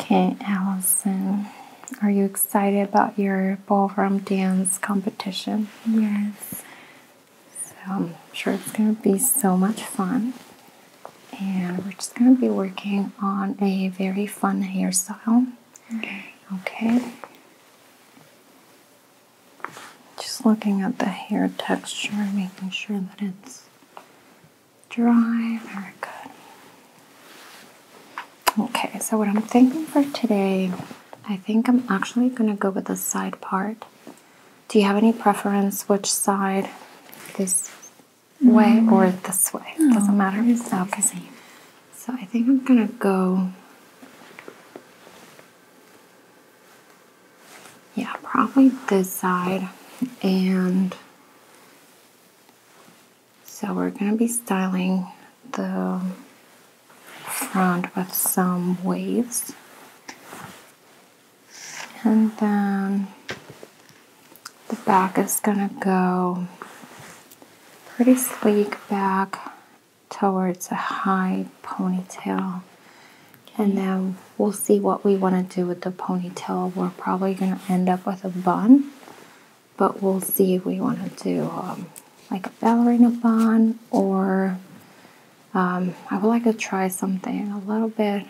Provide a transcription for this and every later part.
Okay, Allison, are you excited about your ballroom dance competition? Yes. So I'm sure it's going to be so much fun. And we're just going to be working on a very fun hairstyle. Okay. Just looking at the hair texture making sure that it's dry, very good. Okay, so what I'm thinking for today, I think I'm actually gonna go with the side part. Do you have any preference which side? This way mm-hmm. or this way? Doesn't matter. Okay. Same. So I think I'm gonna go. Yeah, probably this side and so we're going to be styling the front with some waves. And then the back is going to go pretty sleek back towards a high ponytail. And then we'll see what we want to do with the ponytail. We're probably going to end up with a bun but we'll see if we want to do um, like a ballerina bun or um, I would like to try something a little bit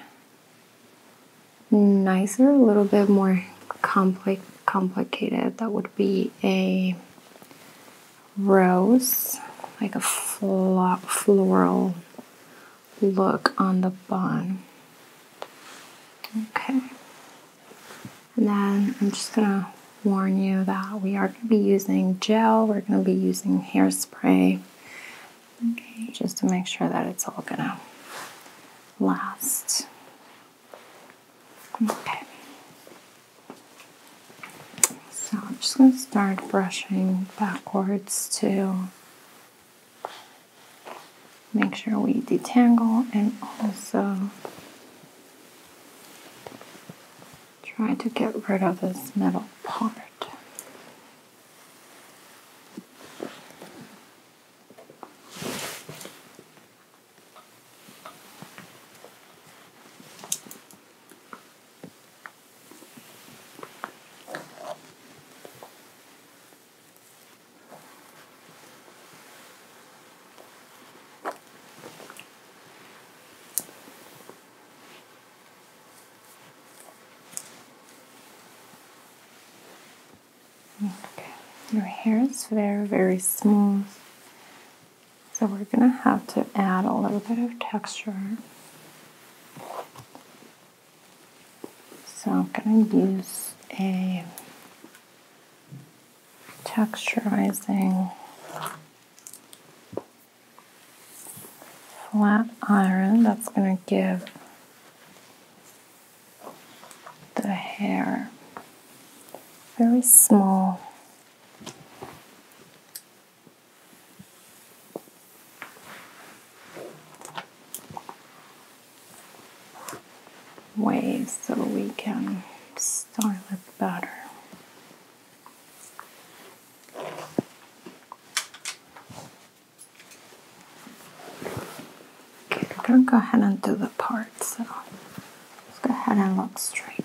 nicer, a little bit more compli complicated. That would be a rose, like a fl floral look on the bun. Okay. And then I'm just gonna warn you that we are gonna be using gel, we're gonna be using hairspray. Okay. Just to make sure that it's all gonna last. Okay. So I'm just gonna start brushing backwards too make sure we detangle and also try to get rid of this metal part. Okay, your hair is very, very smooth, so we're gonna have to add a little bit of texture. So I'm going to use a texturizing flat iron that's going to give the hair very small way so we can start with batter. I'm gonna go ahead and do the part, so let's go ahead and look straight.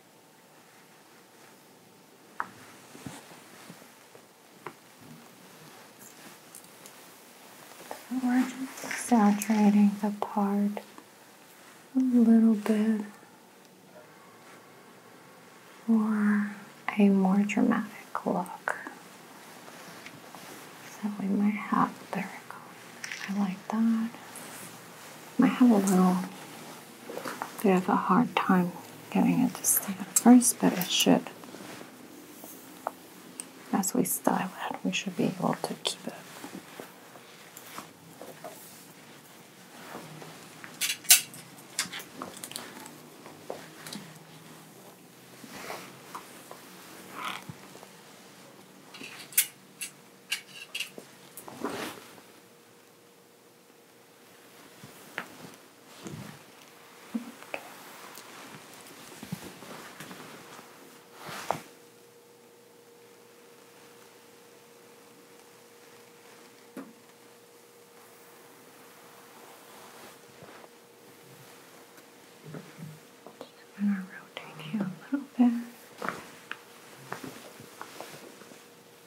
We're just saturating the part a little bit for a more dramatic look. So we might have, there it goes. I like that. Might have a little we have a hard time getting it to stay at first, but it should. As we style it, we should be able to keep it. Okay. Just gonna rotate you a little bit.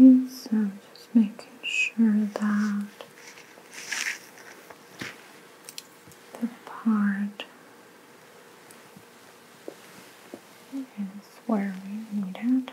Okay, so just making sure that the part is where we need it.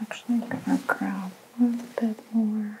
I think I'm actually going to grab a little bit more.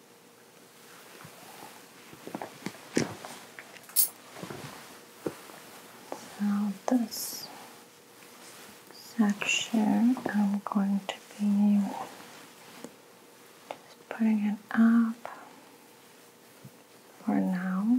So this section I'm going to be just putting it up for now.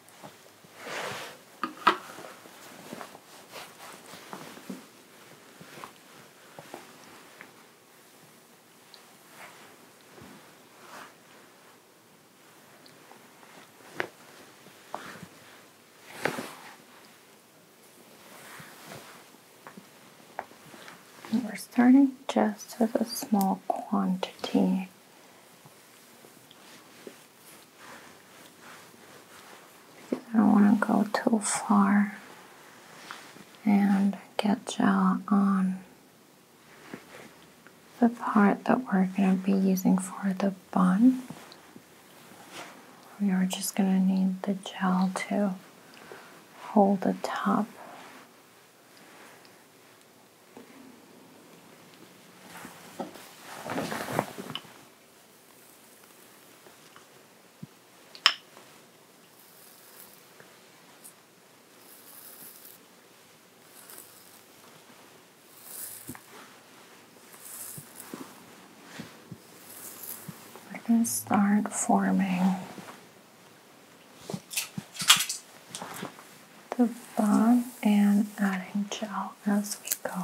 we're starting just with a small quantity because I don't want to go too far and get gel on the part that we're going to be using for the bun. We are just going to need the gel to hold the top. We're going to start forming the bomb and adding gel as we go.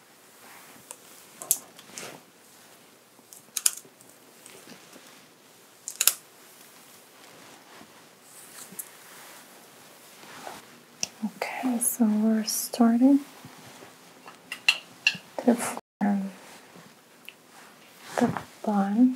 Okay, so we're starting to form the bun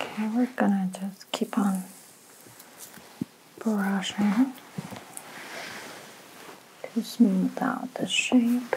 Okay, we're gonna just keep on brushing to smooth out the shape.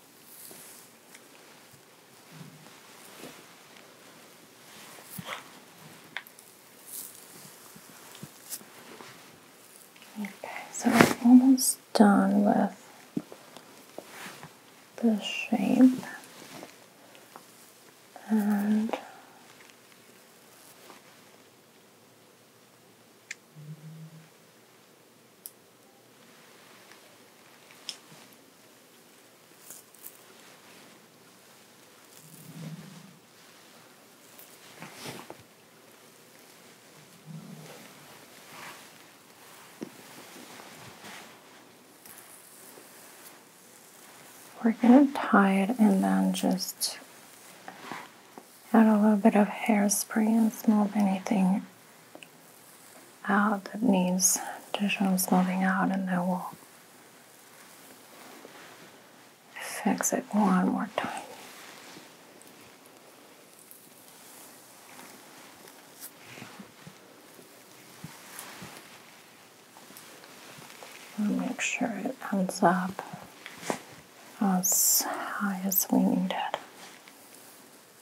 Okay, so I'm almost done with the shape and we're going to tie it and then just Add a little bit of hairspray and smooth anything out that needs additional smoothing out and then we'll fix it one more time. make sure it comes up as high as we need it.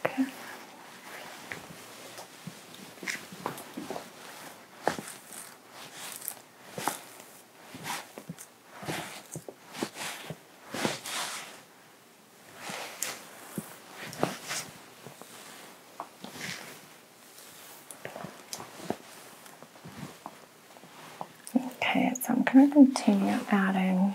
Okay. Okay, so I'm going to continue adding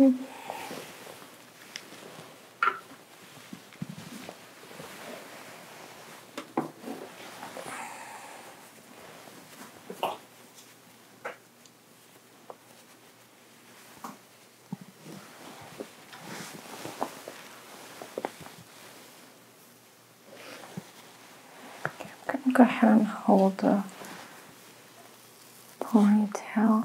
Okay. I'm gonna go ahead and hold the ponytail.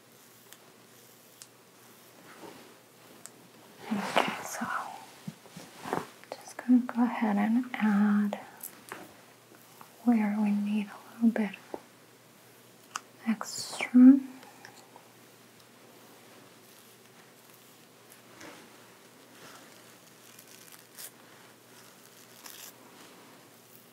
Okay, so I'm just going to go ahead and add where we need a little bit extra.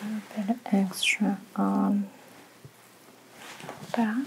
A little bit extra on back.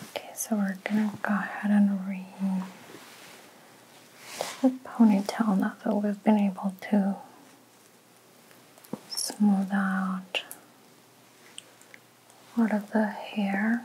Okay, so we're gonna go ahead and read the ponytail now that we've been able to smooth out a lot of the hair.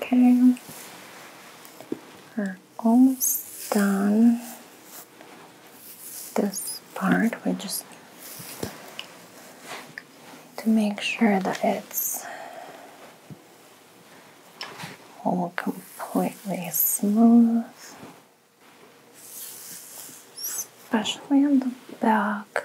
Okay, we're almost done this part we just to make sure that it's all completely smooth especially on the back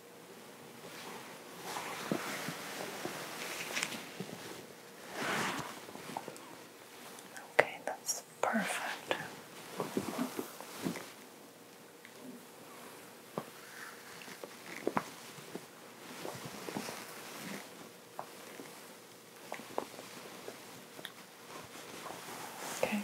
Okay, that's perfect. Okay.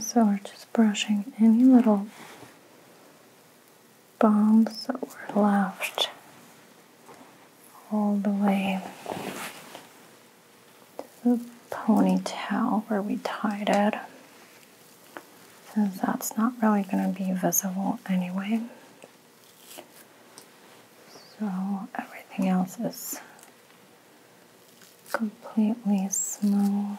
so we're just brushing any little bumps that were left all the way the ponytail where we tied it since that's not really going to be visible anyway. So everything else is completely smooth.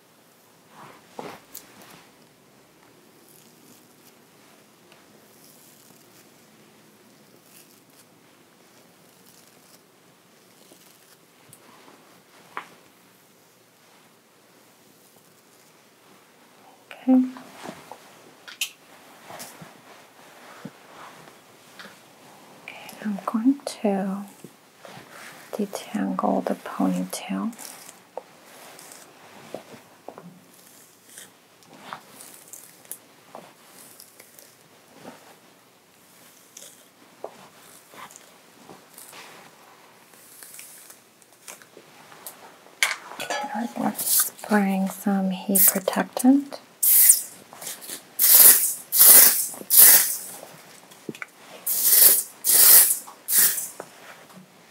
Okay. I'm going to detangle the ponytail. We're spraying some heat protectant.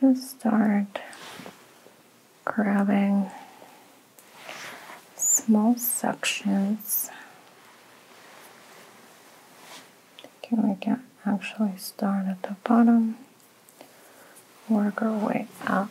Just start grabbing small sections. Can we can actually start at the bottom, work our way up.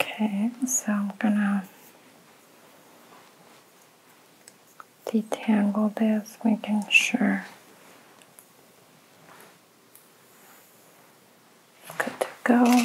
Okay, so I'm gonna detangle this, making sure it's good to go.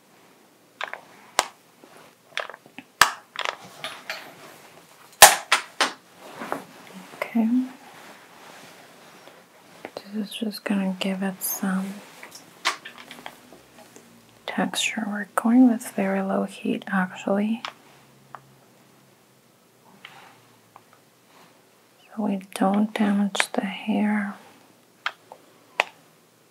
Okay. This is just going to give it some texture. We're going with very low heat actually. So we don't damage the hair.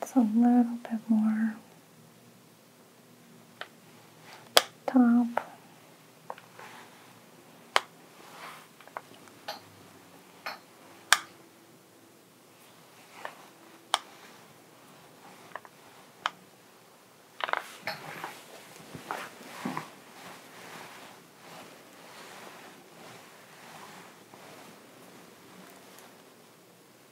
it's a little bit more top.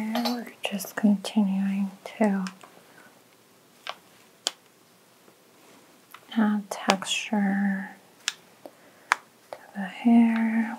Okay, we're just continuing to add texture to the hair.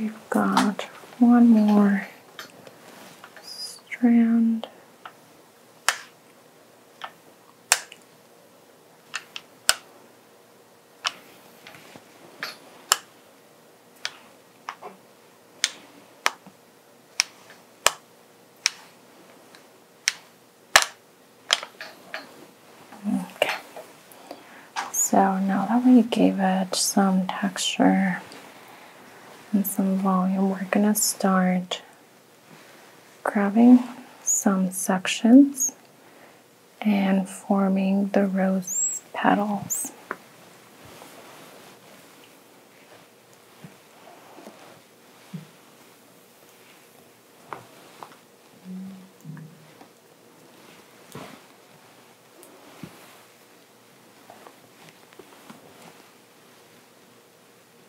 We've got one more strand Okay. So now that we gave it some texture and some volume, we're going to start grabbing some sections and forming the rose petals.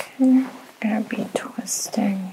Okay, we're gonna be twisting.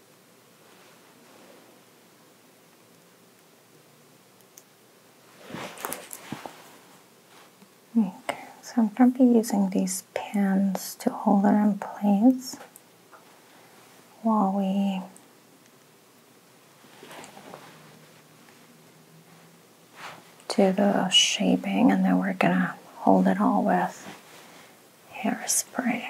Okay, so I'm going to be using these pins to hold it in place while we do the shaping and then we're going to hold it all with hairspray.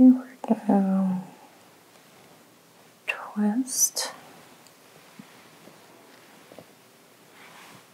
Okay, we're gonna twist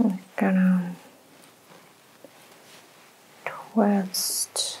I'm gonna twist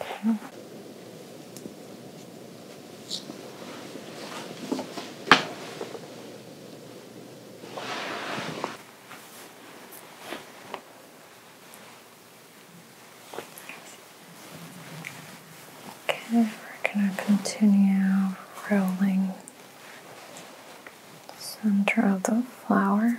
Okay. we're going to continue rolling center of the flower.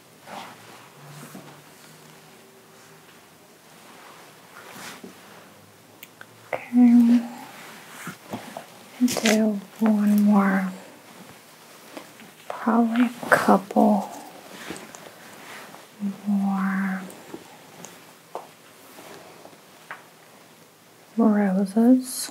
Okay. do one more, probably a couple more roses.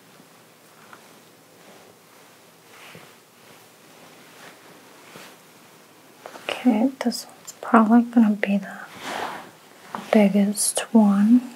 Okay, this one's probably gonna be the biggest one.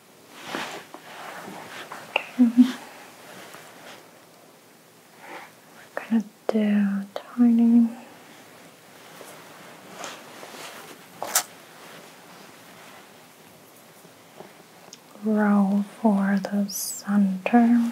We're gonna do a tiny. Row for the center.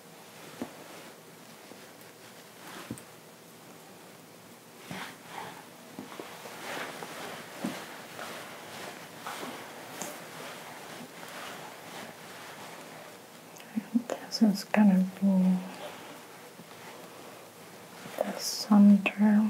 This is gonna be the center.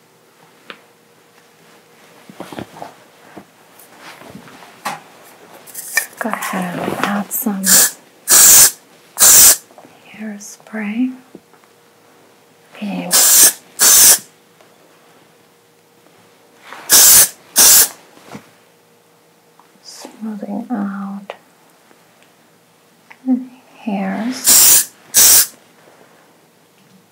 Go ahead and add some hairspray. And smoothing out the hairs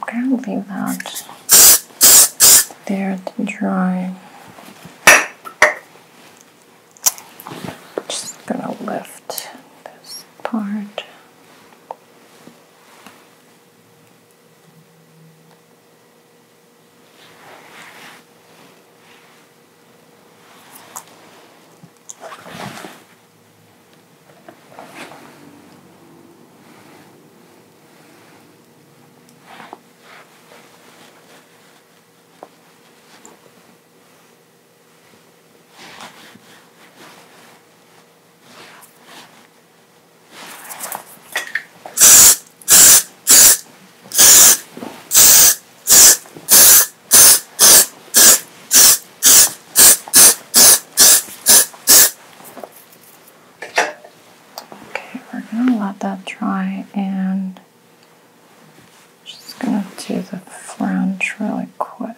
Okay, I'm going to leave that there to dry. Just gonna lift this part. Okay, we're going to let that dry and and just gonna do the fringe really quick.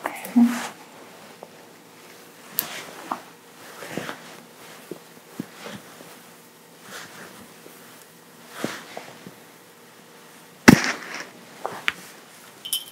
Okay.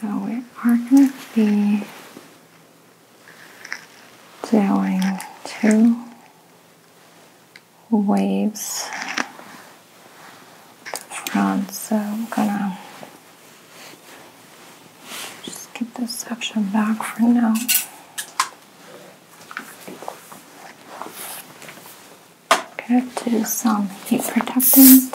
So we are going to be doing two waves to the front. So I'm gonna just keep this section back for now. Gonna do some heat protectant.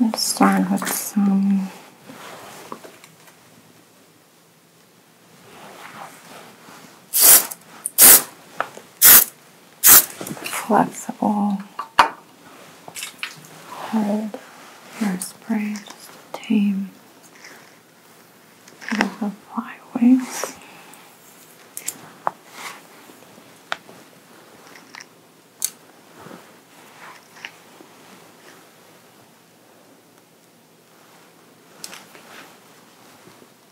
Let's start with some flexible hold your sprays tame little flyweights.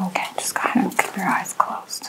Okay, just go ahead and keep your eyes closed.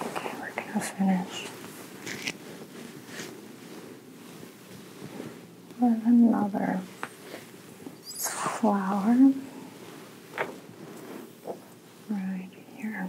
Okay, we're gonna finish with another flower right here.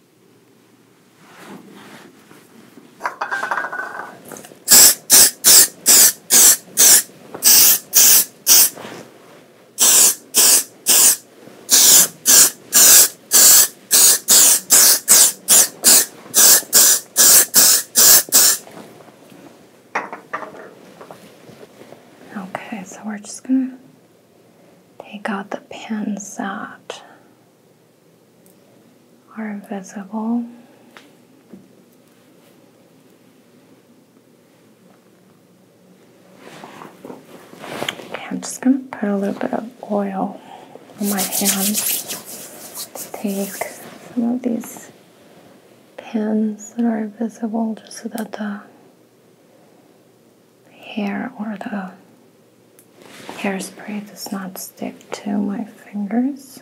Okay, so we're just going to take out the pins out are invisible. I'm just going to put a little bit of oil on my hands to take some of these pins that are visible just so that the hair or the Hairspray does not stick to my fingers.